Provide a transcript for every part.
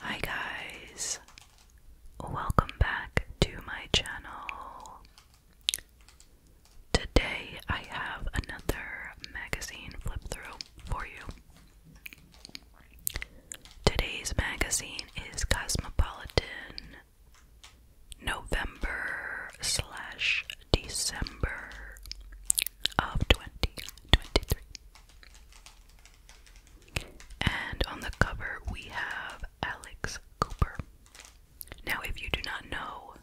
Hi guys, welcome back to my channel. Today I have another magazine flip through for you. Today's magazine is Cosmopolitan November slash December of 2023. And on the cover, we have Alex Cooper. Now, if you do not know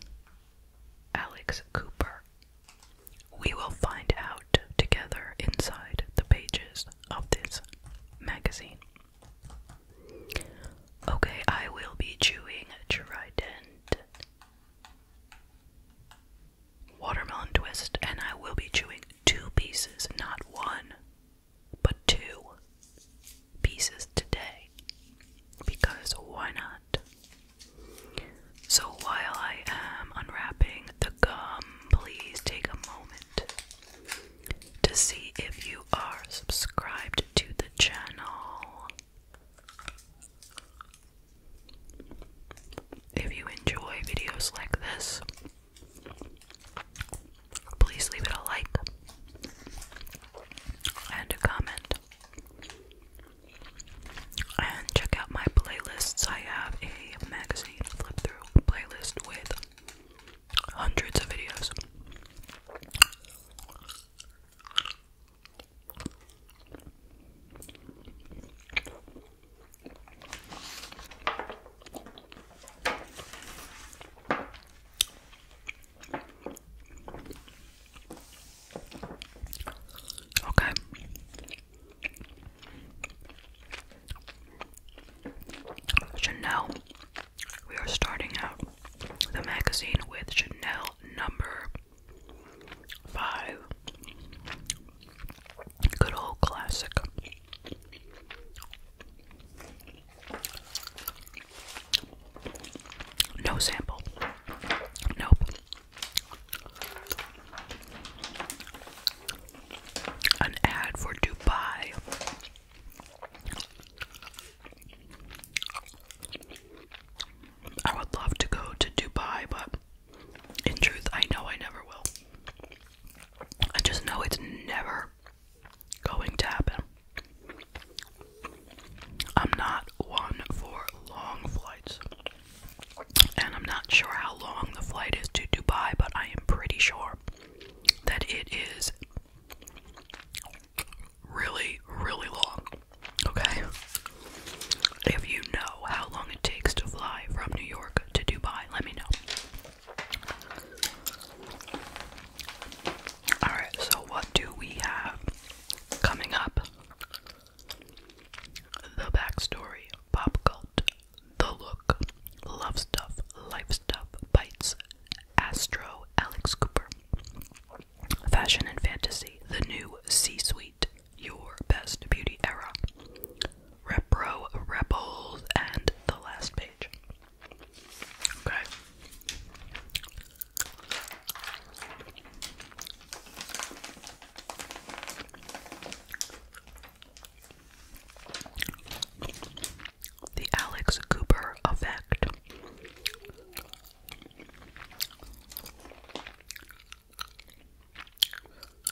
Alex Cooper, we will find out together inside the pages of this magazine. Okay, I will be chewing Trident watermelon twist, and I will be chewing two pieces, not one, but two pieces today. Because why not? So while I am unwrapping the gum, please take a moment to see if you are subscribed to the channel. If you enjoy videos like this, please leave it a like and a comment. And check out my playlists. I have a magazine flip through playlist with hundreds of videos. Okay. Chanel. We are starting out the magazine with Chanel number five. Good old classic. No sample. Nope. An ad for Dubai. I would love to go to Dubai, but in truth, I know I never will. I just know it's never going to happen. I'm not one for long flights. And I'm not sure how long the flight is to Dubai, but I am pretty sure that it is really, really long. Okay? If you know how long it takes to fly from New York to Dubai, let me know. Alright, so what do we have coming up? The backstory, pop cult, the look, love stuff, life stuff, bites, astro, Alex Cooper, fashion and fantasy, the new C suite, your best beauty era. Repro, Rebels, and the last page. Okay. The Alex Cooper effect.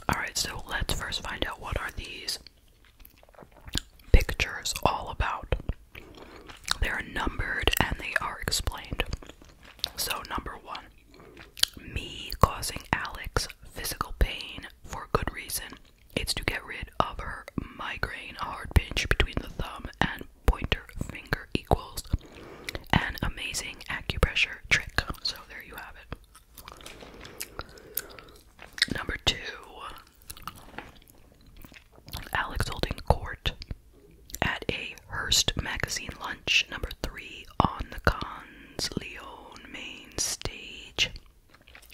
Alright, so let's first find out what are these pictures all about. They are numbered and they are explained. So, number one, me causing Alex physical pain for good reason. It's to get rid of her migraine, hard pinch between the thumb and pointer finger equals an amazing acupressure trick. So, there you have it. Number two, Alex holding court at a Hearst magazine lunch. Number three, on the Cons Leon main stage.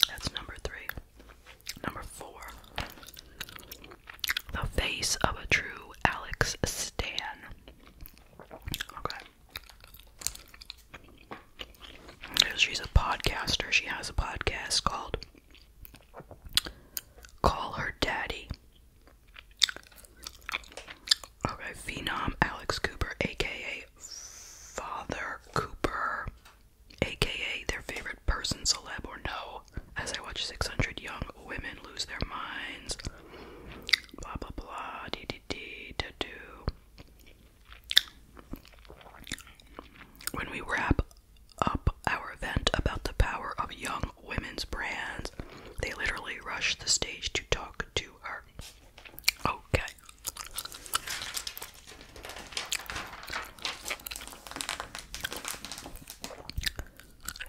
That's number three. Number four, the face of a true Alex Stan. Okay. She's a podcaster. She has a podcast called Call Her Daddy. Okay, Phenom Alex Cooper, aka Father Cooper, aka their favorite person, celeb or no. As I watch 600 young women lose their minds. Blah blah blah. D d d to do. When we wrap up our event about the power of young women's brands, they literally rush the stage to talk to her. Okay.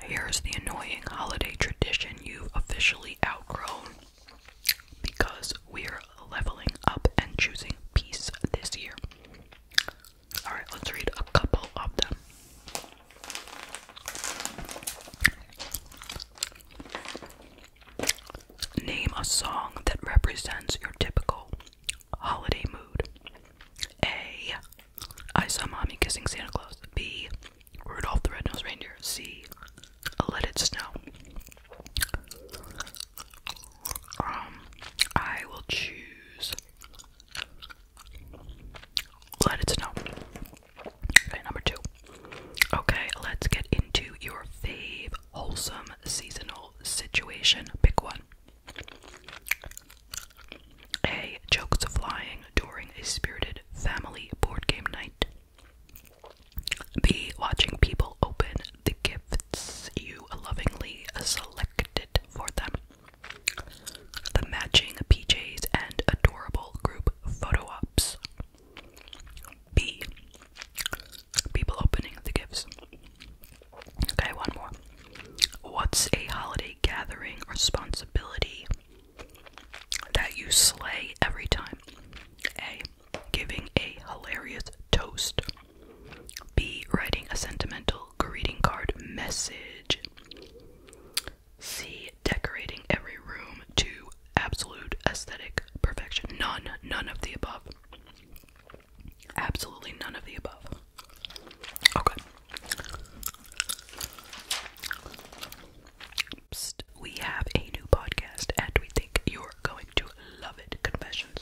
Here's the annoying holiday tradition you've officially outgrown because we're leveling up and choosing peace this year. Alright, let's read a couple of them. Name a song that represents your typical holiday mood. A. I saw mommy kissing Santa Claus. B. Rudolph the Red-Nosed Reindeer. See, uh, Let It Snow. Um, I will choose Let It Snow. Okay, number two. Okay, let's get into your fave wholesome seasonal situation. Pick one. A. Jokes of flying during a spirited family board game night. Be watching people open the gifts you lovingly selected for them. The matching PJs and adorable group photo ops. B. People opening the gifts. Okay, one more. What's a holiday gathering responsibility that you slay every time? A giving a hilarious toast. B. Writing a sentimental greeting card message. C. Decorating every room to absolute aesthetic perfection. None, none of the above. Absolutely none of the above. Okay we have a new podcast and we think you're going to love it. Confessions.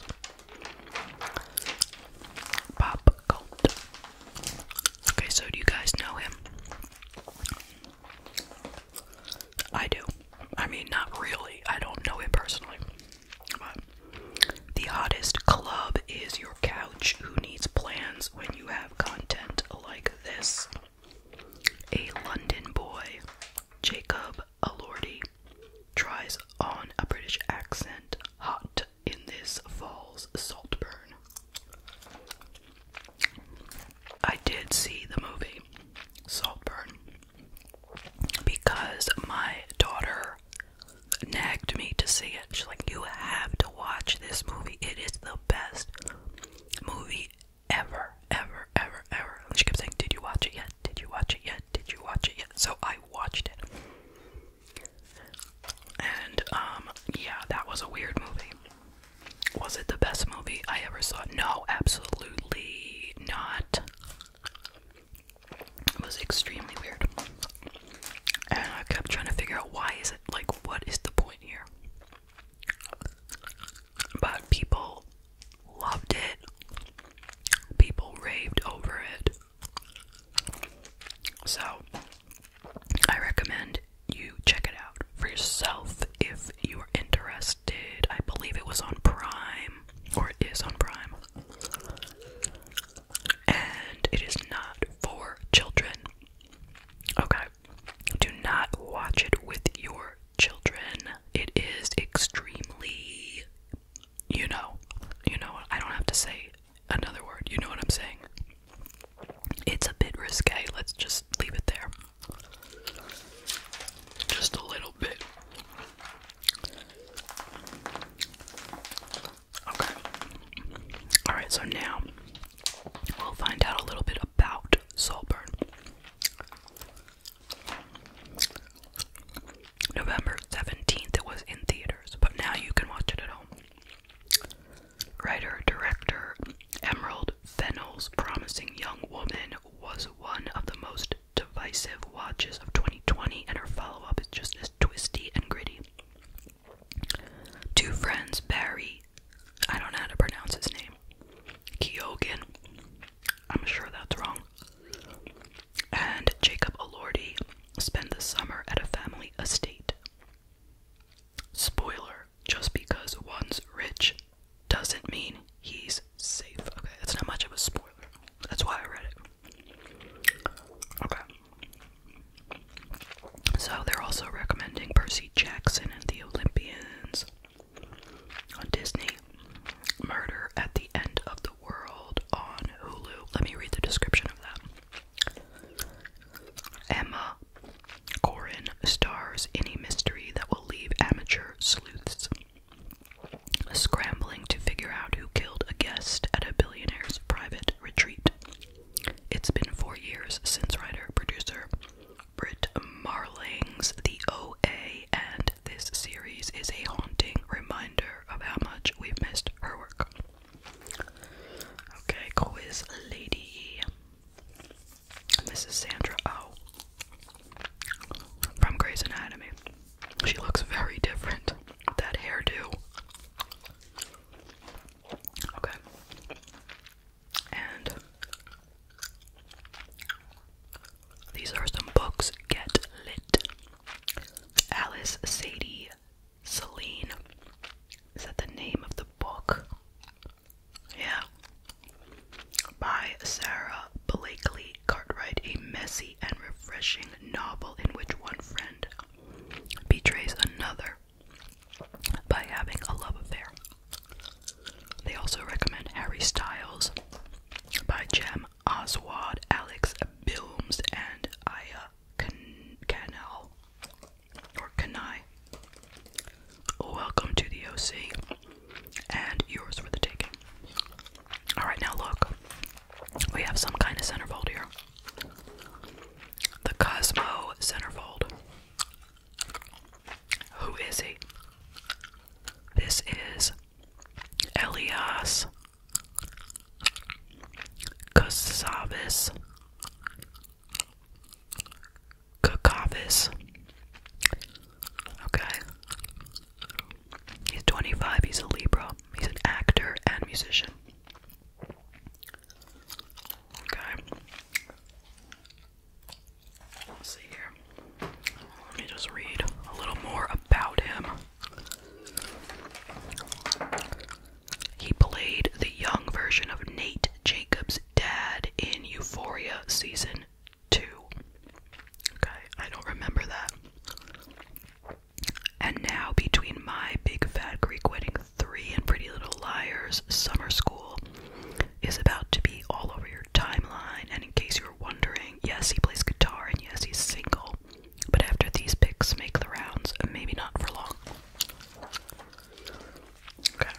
Pop Cult. Okay, so do you guys know him? I do. I mean, not really. I don't know him personally. the hottest club is your couch. Who needs plans when you have content like this? A London boy, Jacob Alordi, tries on a British accent hot in this fall's Saltburn. I did see the movie Saltburn because my daughter nagged me to see it. She's like, You have to watch this movie, it is the best movie ever, ever, ever, ever. And she kept saying, Did you watch it yet? Did you watch it yet? Did you watch it yet? So I watched it. And, um, yeah, that was a weird movie. Was it the best movie I ever saw? No, absolutely not. It was extremely weird. And I kept trying to figure out why is it like what is the point here? But people loved it. People raved over it. So, I recommend you check it out for yourself if you are interested. I believe it was on Prime, or it is on Prime. And it is not for children. Okay. Do not watch it with your children. It is extremely, you know, you know, I don't have to say another word. You know what I'm saying? It's a bit risque. Let's just leave it there. Just a little bit. Okay. Alright, so now we'll find out a little bit about Saltburn. November 17th, it was in theaters, but now you can watch it at home. Writer director Emerald Fennell's Promising Young Woman was one of the most divisive watches of 2020, and her follow up is just as twisty and gritty. Two friends, Barry I don't know how to pronounce his name. Keoghan. I'm sure that's wrong. And Jacob Elordi spend the summer at a family estate. Spoiler, just because one's rich doesn't mean he's safe. Okay, that's not much of a spoiler. That's why I read it. Okay. So they're also recommending Percy Jackson and the Olympians on Disney. Murder at the End of the World on Hulu. Let me read the description of that. Emma Corrin stars in a mystery that will leave amateur sleuths scrambling to figure out who killed a guest at a billionaire's private retreat. It's been four years since writer, producer, Britt Marlings, the OA, and this series is a haunting reminder of how much we've missed her work. Okay, quiz lady. And this Sandra Oh from Grey's Anatomy. She looks very different. That hairdo. Okay. And these are some books Get Lit. Alice Sadie Celine. Is that the name of the book? Yeah. By Sarah Blakeley Cartwright, a messy and refreshing novel in which one friend betrays another by having a love affair. They also recommend Harry Styles by Jem Oswald, Alex Bilms, and Aya Can or Kanai. Welcome to the OC and yours for the taking. Alright, now look. We have some kind of centerfold here. The Cosmo centerfold. Who is he? This is Elias Kosavis Kokavis. Okay. He's 25, he's a Libra. He's an actor and musician. Okay let see here. Let me just read a little more about him. He played the young version of Nate Jacobs' dad in Euphoria season 2. Okay, I don't remember that. And now, between My Big Fat Greek Wedding 3 and Pretty Little Liars Summer School, is about to be all over your timeline. And in case you're wondering, yes, he plays guitar and yes, he's single. But after these picks make the rounds, maybe not for long. Okay.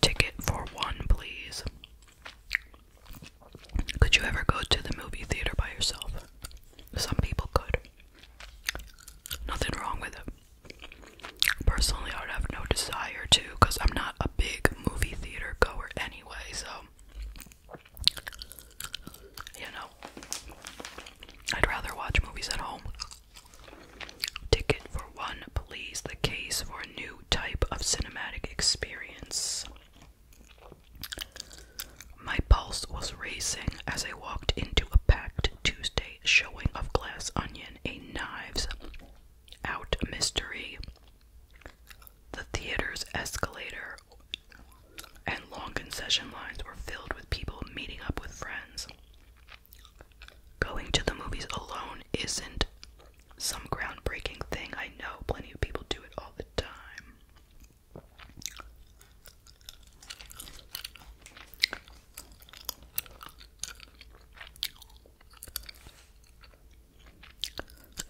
Ticket for one, please. Could you ever go to the movie theater by yourself? Some people could. Nothing wrong with it. Personally, I would have no desire to because I'm not a big movie theater goer anyway, so. You know, I'd rather watch movies at home. Ticket for one, please. The case for a new type of cinematic experience. My pulse was racing as I walked into a packed Tuesday showing of Glass Onion, a knives out mystery. The theater's escalator and long concession lines were filled with people meeting up with friends. Going to the movies alone isn't some groundbreaking thing. I know plenty of people do it all the time.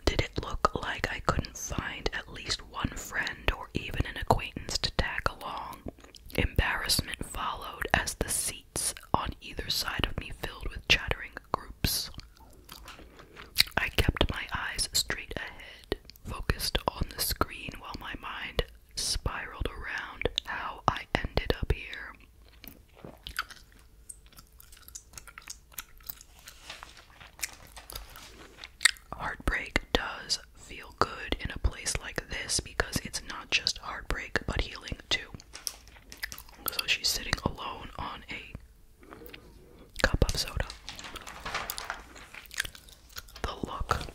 Did it look like I couldn't find at least one friend or even an acquaintance to tag along? Embarrassment followed as the seats on either side of me filled with chattering groups. I kept my eyes straight ahead, focused on the screen while my mind spiraled around how I ended up here. Heartbreak does feel good in a place like this because it's not just heartbreak but healing too. So she's sitting alone on a cup of soda. The look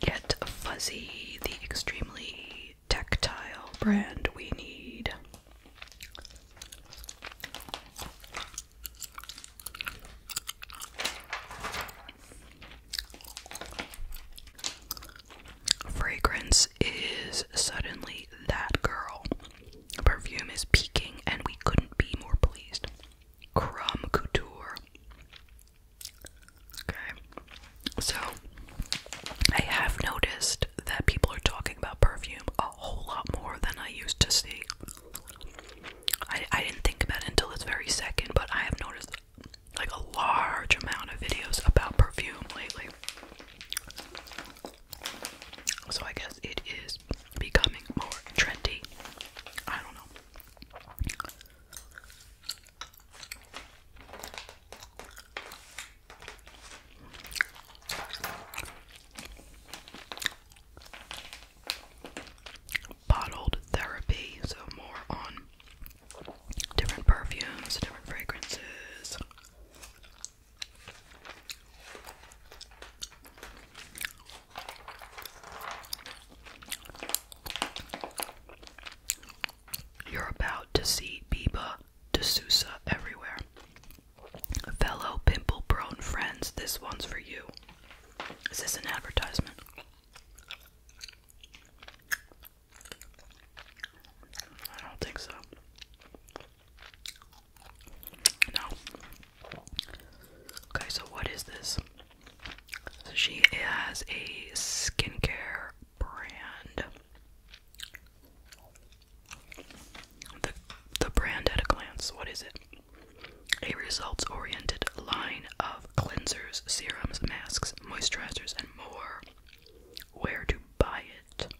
get Fuzzy, the extremely tactile brand we need. Fragrance is suddenly that girl. Perfume is peaking, and we couldn't be more pleased. Crumb Couture. Okay. So I have noticed that people are talking about perfume a whole lot more than I used to see. I didn't think about it until this very second, but I have noticed like a large amount of videos about perfume lately. So I guess it is becoming more trendy. I don't know. Bottled therapy, so more on different perfumes, different fragrances. You're about to see Biba Sousa everywhere. Fellow pimple prone friends, this one's for you. Is this an advertisement? I don't think so. No. Okay, so what is this? she has a skincare brand. The the brand at a glance, what is it? A results-oriented line of cleansers, serums, masks, moisturizers, and more. Where to buy it?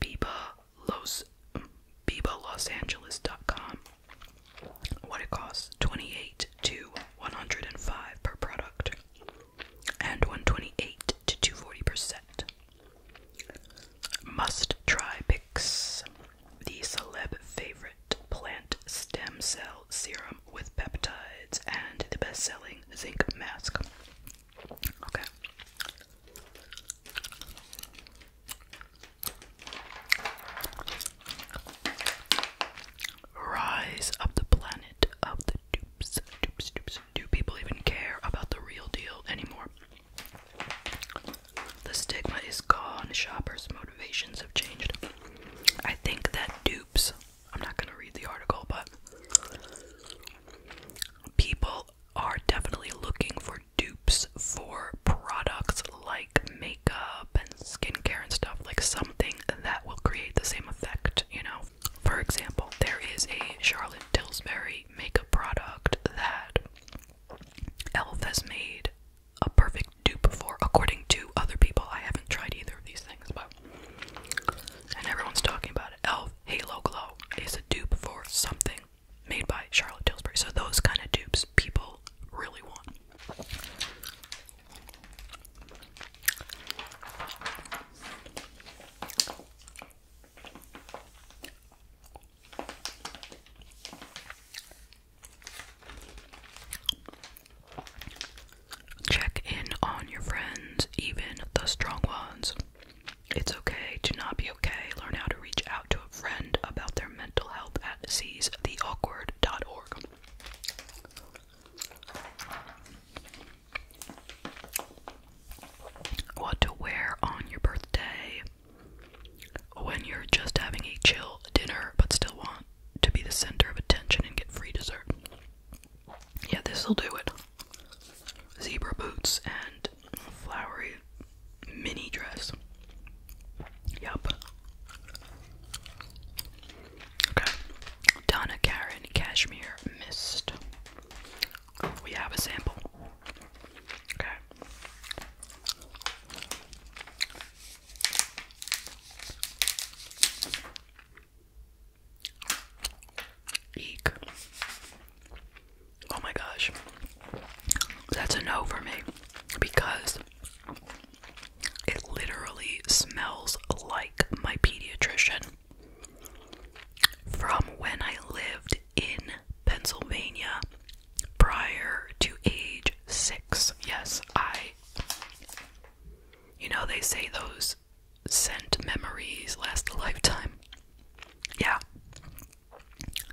Biba Los BibaLosAngeles.com what it costs 28 to 105 per product and 128 to 240 percent must try pix the celeb favorite plant stem cell serum with peptides and the best-selling zinc mask okay Rise of the planet of the dupes, Do people even care about the real deal anymore? The stigma is gone, shoppers' motivations have changed. I think that dupes, I'm not going to read the article, but people are definitely looking for dupes for products like makeup and skincare and stuff, like something that will create the same effect, you know? For example, there is a Charlotte Tilbury makeup product that e.l.f. has made a perfect dupe for, according to other people. I haven't tried either of these things, but. And everyone's talking about it. e.l.f. Halo Glow is a dupe for something made by Charlotte Tilbury. So, those kind of dupes people really want. Check in on your friends, even the strong ones. It's okay to not be okay. Learn how to reach out out to a friend about their mental health at seizetheawkward.org. What to wear on your birthday when you're just having a chill dinner but still want to be the center of attention and get free dessert. Yeah, this'll do it. Zebra boots and flowery mini dress. Yup. Okay. Donna Karen Cashmere Mist. We have a sample. Okay. Eek. Oh my gosh. That's a no for me because it literally smells like my pediatrician from when I lived in Pennsylvania prior to age six. Yes, I. You know, they say those scent memories last a lifetime. Yeah.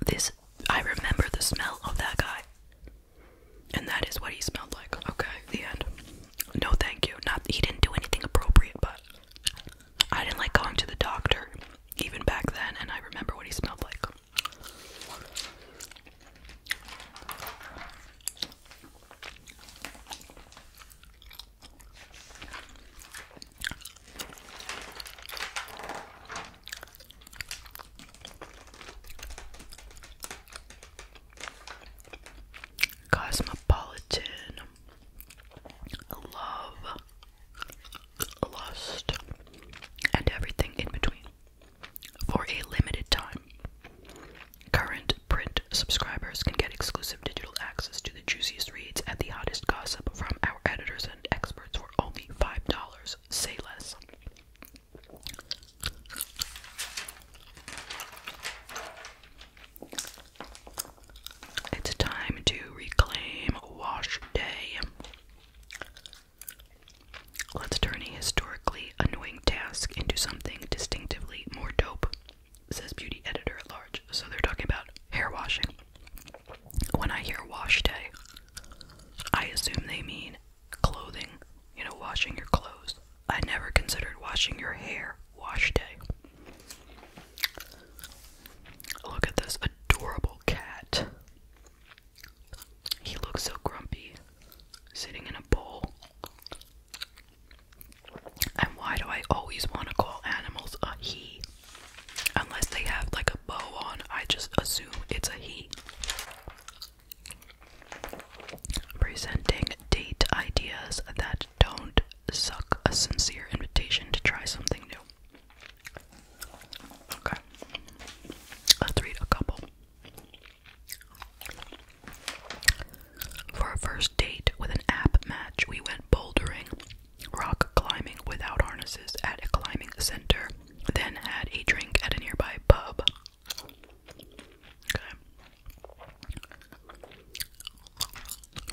This. I remember the smell of that guy. And that is what he smelled like. Okay, the end. No, thank you. Not he didn't do anything appropriate, but I didn't like going to the doctor even back then, and I remember what he smelled like. Cosmopolitan Love Lust and everything in between for a limited time. Current print subscribers can get exclusive digital access to the juiciest reads and the hottest gossip from our editors and experts for only $5. Say less. It's time to reclaim wash day. Let's turn a historically annoying task into something distinctively more dope, says beauty editor at large. So they're talking about hair washing. When I hear wash day, I assume they mean clothing you know, washing your clothes. I never considered washing your hair wash day. Look at this adorable cat. He looks so grumpy, sitting in a bowl. And why do I always want to call animals a he? Unless they have like a bow on, I just assume it's a he. Presenting date ideas that don't suck a sincere invitation to try something new. Okay. Let's read a couple. For a first date with an app match, we went bouldering, rock climbing without harnesses at a climbing center, then had a drink at a nearby pub.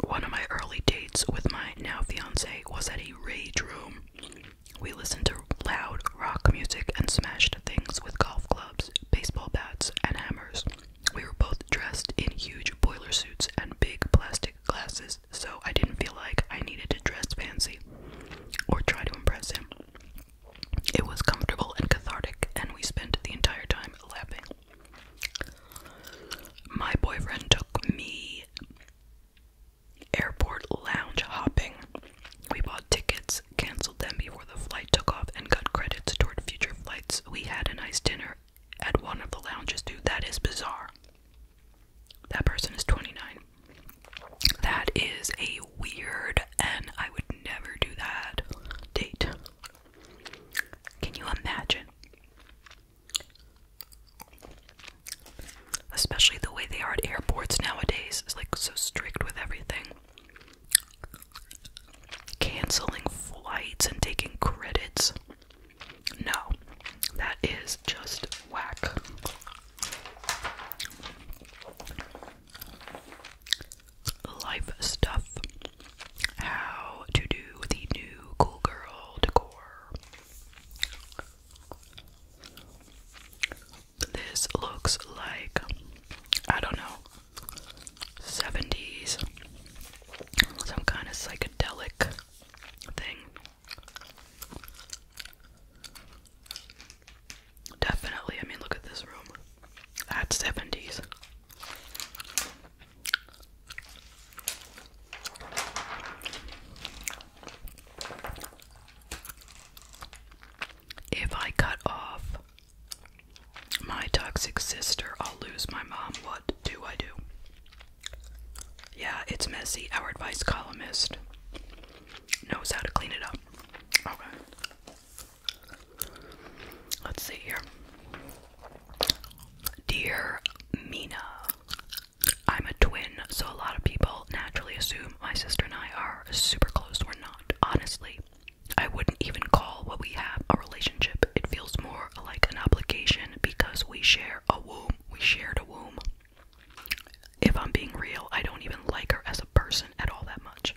One of my early dates with my now fiance was at a rage room. We listened to loud rock music and smashed things with golf clubs, baseball bats, and hammers. We were both dressed in huge boiler suits and big plastic glasses, so I didn't feel like I needed to dress fancy or try to impress him. It was comfortable and cathartic, and we spent the entire time laughing. My boyfriend took me airport lounge hopping. We bought tickets, canceled them before the flight took off, and got credits toward future flights. We had a nice dinner at one of the lounges, dude. That is bizarre. That person is 29. That is a weird, and I would never do that date. Can you imagine? Especially the way they are at airports nowadays its like so strict with everything. Canceling flights and taking credits. No, that is just whack life stuff, how to do the new cool girl decor. This looks like, I don't know, 70s, some kind of psychedelic thing. Definitely. I mean, look at this room. That's 70s. If I cut off my toxic sister, I'll lose my mom. What do I do? Yeah, it's messy. Our advice columnist knows how to clean it up. Okay. Let's see here. Dear Mina, I'm a twin, so a lot of people naturally assume my sister and I are super close. We're not. Honestly, I wouldn't even call what we have a relationship. It feels more like an obligation because we share a womb. We shared a womb. If I'm being real, I don't even like her as a person at all that much.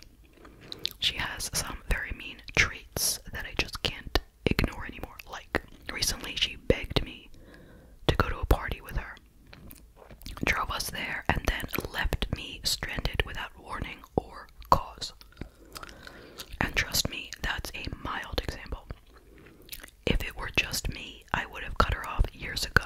She has some very mean traits that I just can't ignore anymore. Like, recently she begged me to go to a party with her, drove us there, and then left me stranded without warning or cause. And trust me, that's a mild example. If it were just me, I would have cut her off years ago.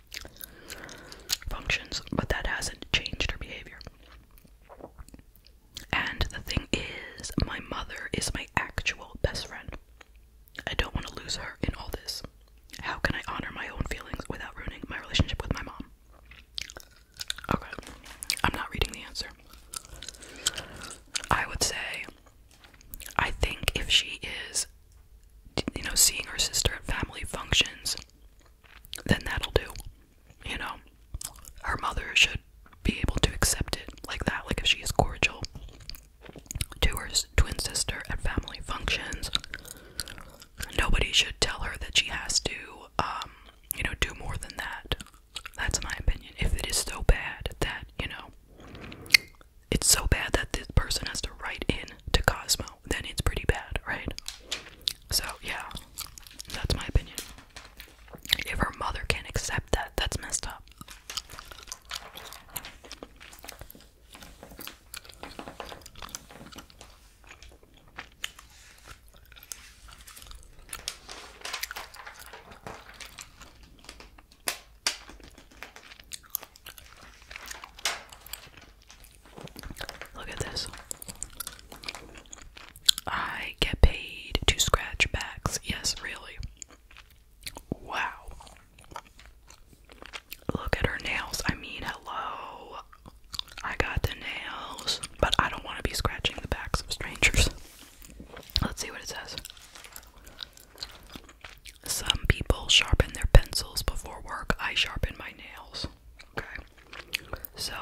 functions, but that hasn't changed her behavior. And the thing is, my mother is my actual best friend. I don't want to lose her in all this. How can I honor my own feelings without ruining my relationship with my mom? Okay, I'm not reading the answer. I would say, I think if she is you know, seeing her sister at family functions, then that'll do. You know, her mother should be able to accept it like that, like if she is cordial to her twin sister at family functions. Nobody should tell her that she has to, um, you know, do more than that. That's my opinion. If it is so bad that, you know, it's so bad that this person has to write in to Cosmo, then it's pretty bad, right? So, yeah, that's my opinion. If her mother can't accept that, that's messed up. Look at this. I get paid to scratch backs. Yes, really. Wow. Look at her nails. I mean, hello. I got the nails, but I don't want to be scratching the backs of strangers. Let's see what it says. Some people sharpen their pencils before work. I sharpen my nails. Okay. So,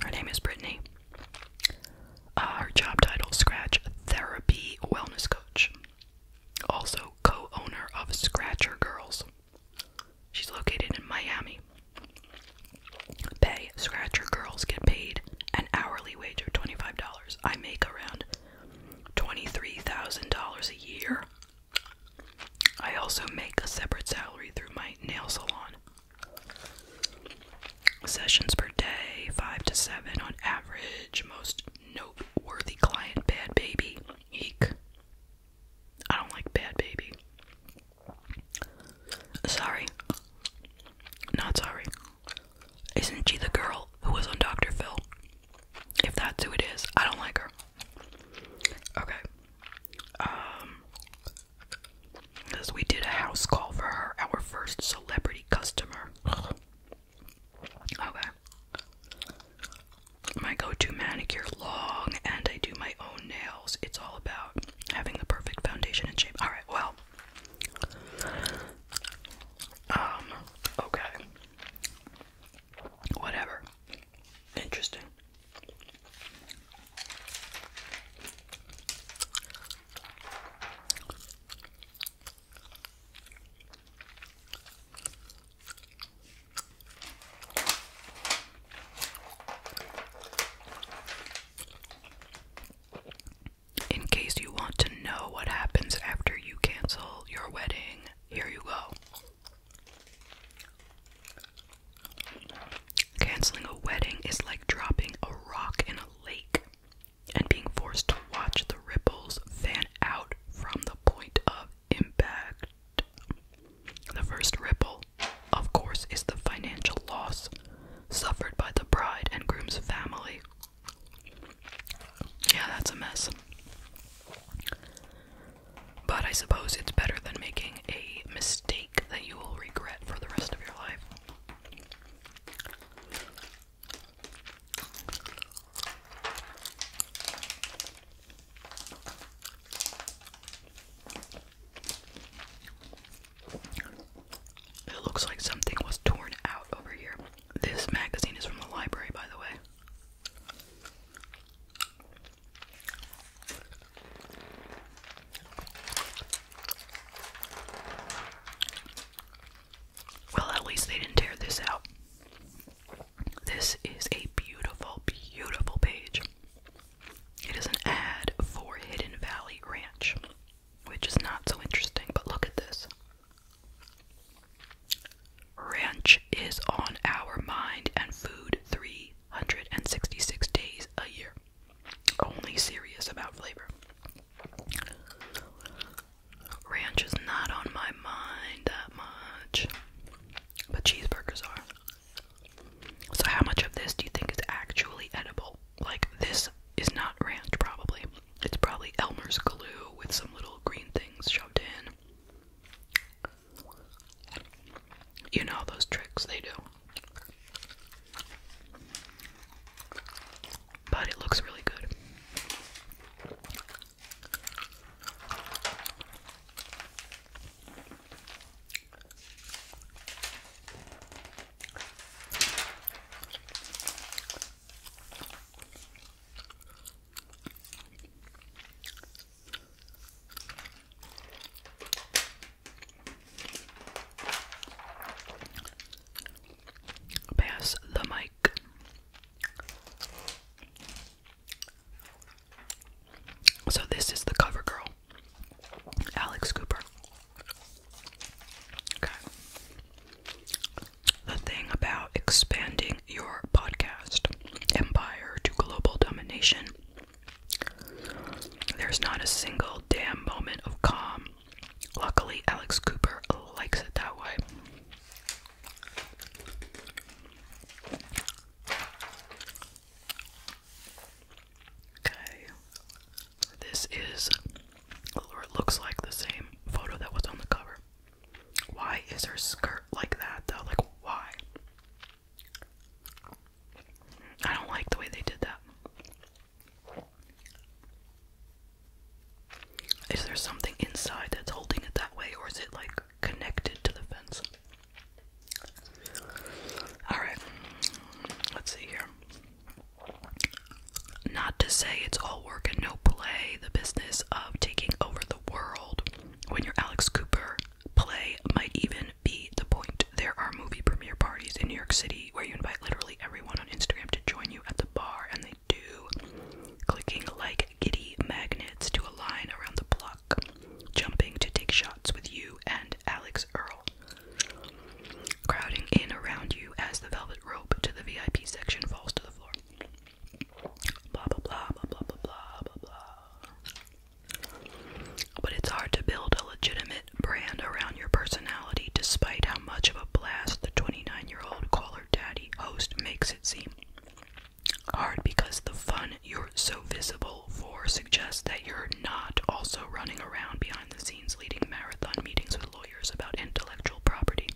her name is Brittany. Uh, her job title Scratch Therapy Wellness Coach. Also, co owner of Scratcher Girls. She's located in Miami. Pay Scratcher Girls get paid an hourly wage of $25. I make around $23,000 a year I also make a separate salary through my nail salon. Sessions per day, five to seven on average. Most noteworthy client, bad baby. Eek. I don't like bad baby. Sorry. Not sorry. Isn't she the girl who was on Dr. Phil? If that's who it is, I don't like her. Okay. Um because we did a house call for her, our first celebrity customer. Okay. My go-to manicure long and I do my own nails. It's all about having the perfect foundation and shape. Alright, well um okay. Whatever. Interesting. In case you want to know what happens after you cancel your wedding, here you go. Canceling a wedding is like dropping a rock in a lake and being forced to watch the ripples fan out from the point of impact. The first ripple, of course, is the financial loss suffered by the bride and groom's family. Yeah, that's a mess. But I suppose it's better than making a mistake that you will regret for the rest of your life. It looks like something was torn out over here. This magazine is from the library, by the way. Well, at least they didn't tear this out. This is a beautiful, beautiful page. It is an ad for Hidden Valley Ranch, which is not so interesting, but look at this. Ranch is on our mind and food 366 days a year. Only serious about flavor. Ranch is not on my mind that much, but cheeseburgers are. So, how much of this do you think is actually edible? Like, this is not ranch, probably. It's probably Elmer's glue with some little green things shoved in. You know those tricks they do. But it looks really good. Pass the mic. So, this is the cover girl, Alex Cooper. Okay the thing about expanding your podcast empire to global domination. There's not a single damn moment of calm. Luckily, Alex Cooper likes it that way. Okay, this is, or looks like the same photo that was on the cover. Why is her skirt like that though? Like, why? I don't like the way they did that. Is there something inside that's holding it that way, or is it like connected to the fence? Alright, let's see here. Not to say it's all work and no play, the business of taking over the world when you're Alex Cooper play might even be the point. There are movie premiere parties in New York City where you invite literally everyone on Instagram to join you at the bar, and they do clicking like giddy magnets to a line around the block, jumping to take shots with you and Alex Earl. Crowding in around you as the velvet rope to the VIP section falls to the floor. But it's hard to build a legitimate brand around your personality despite how much of a blast the 29-year-old caller daddy host makes it seem. Hard because the fun you're so visible for suggests that you're not also running around behind the scenes leading marathon meetings with lawyers about intellectual property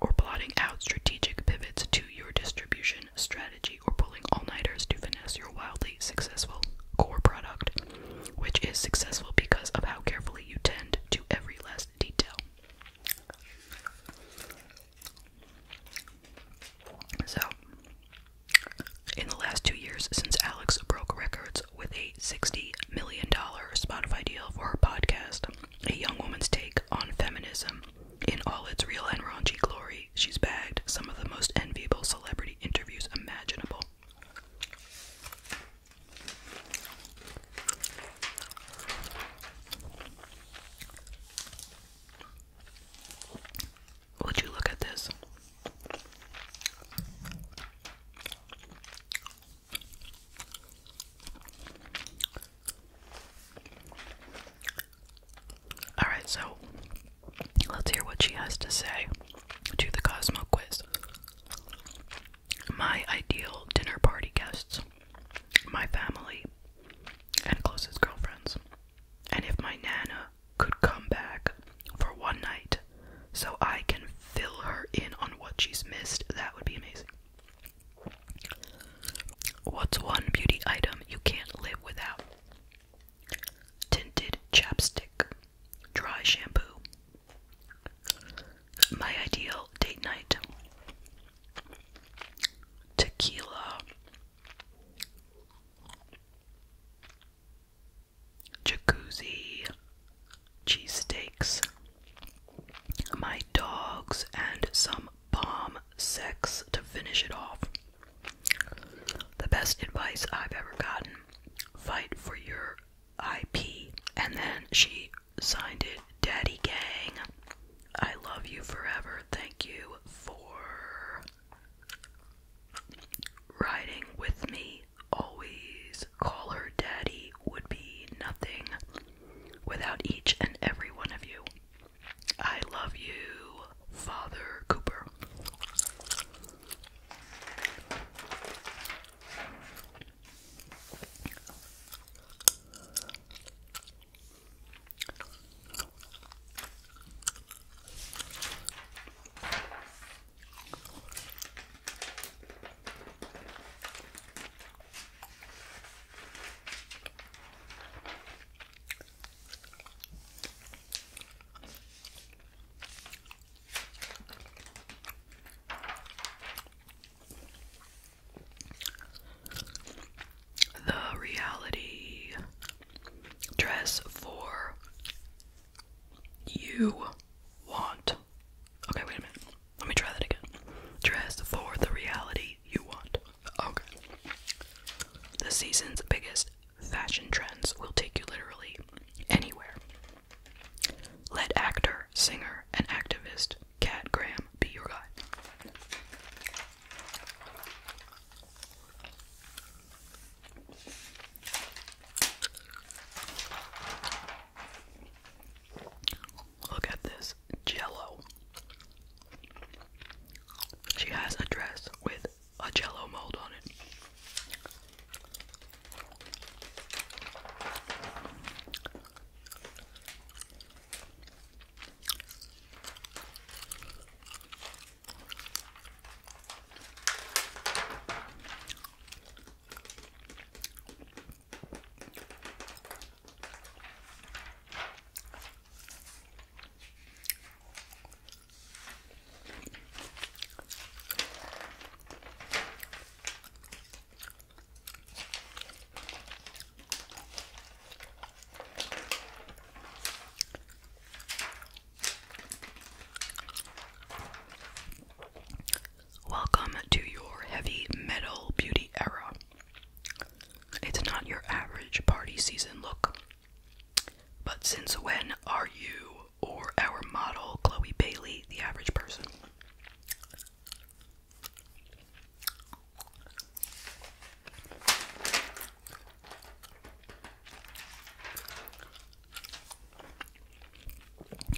or plotting out strategic pivots to your distribution strategy or pulling all-nighters to finesse your wildly successful core product, which is successful because of how carefully you tend to every last detail. So, in the last two years since Alex broke records with a $60 million Spotify deal for her podcast, A Young Woman's Take on feminism. In all its real and raunchy glory, she's bagged some of the most enviable celebrity interviews imaginable. Would you look at this? Alright, so let's hear what she has to say to the Cosmo quiz. My ideal dinner party guests, my family, and closest girlfriends. And if my Nana could come back for one night so I can fill her in on what she's missed, that would be amazing. What's one beauty item you can't live without? Tinted chapstick, dry shampoo. My ideal date night. Tequila. Jacuzzi. Cheesesteaks. My dogs and some bomb sex to finish it off. The best advice I've ever gotten fight for your IP. And then she signed it Daddy Gang. I love you forever. Thank you for riding with me always. Call her Daddy would be nothing without each and every one of you. I love you, Father Cooper. The reality dress for you want. Okay, wait a minute. Let me try that again. Dress for the reality you want. Okay. The season's biggest fashion trends will take you literally anywhere. Let actor, singer, and activist Cat Graham be your guide. Look at this jello. She has a dress with a jello mold on it. Welcome to your heavy metal beauty era. It's not your average party season look. But since when are you or our model, Chloe Bailey, the average person?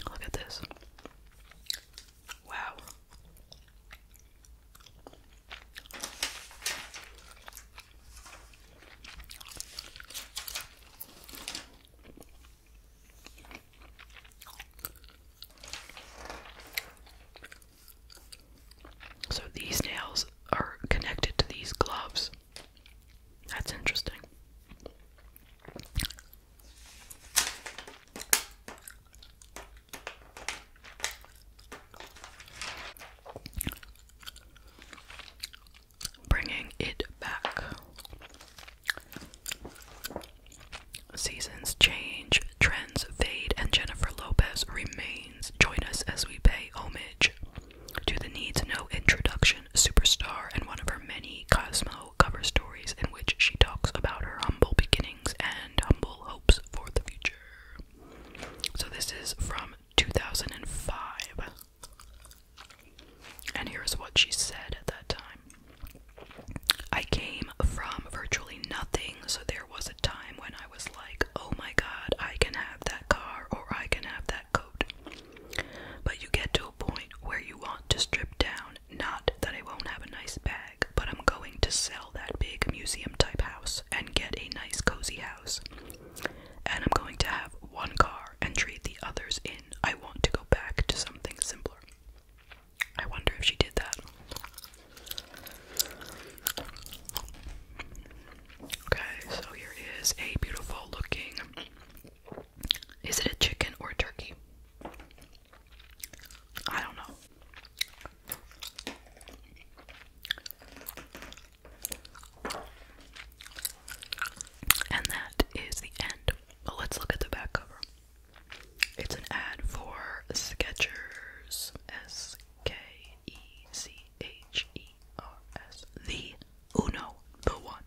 Look at this. Wow. So these nails are connected to these gloves. That's interesting. Bringing it back. Seasons change, trends fade, and Jennifer Lopez remains. Join us as we pay homage to the needs know introduction superstar and one of her many Cosmo cover stories in which she talks about her humble beginnings and humble hopes for the future. So this is from 2005. And here's what she said at that time. I came from virtually nothing, so there was a time when I was like, oh my god, I can have that car or I can have that coat. But you get to a point where you want to strip down. Not that I won't have a nice bag, but I'm going to sell that big museum type house and get a nice cozy house. And I'm going to have one car and trade the others in. I want to go back to something simpler. I wonder if she did that. Okay, so here is a beautiful looking. Is it a chicken or turkey? I don't know. And that is the end. let's look at the back cover. It's an ad for Skechers. S K E C H E R S. The Uno, the one.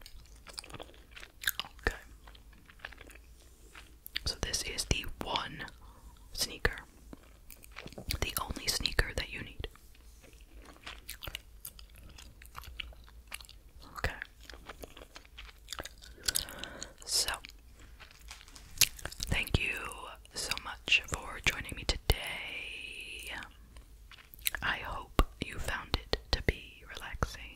Okay. So this is the one sneaker. The only sneaker that you need. Okay. So, thank you so much for joining me today. I hope you found it to be relaxing.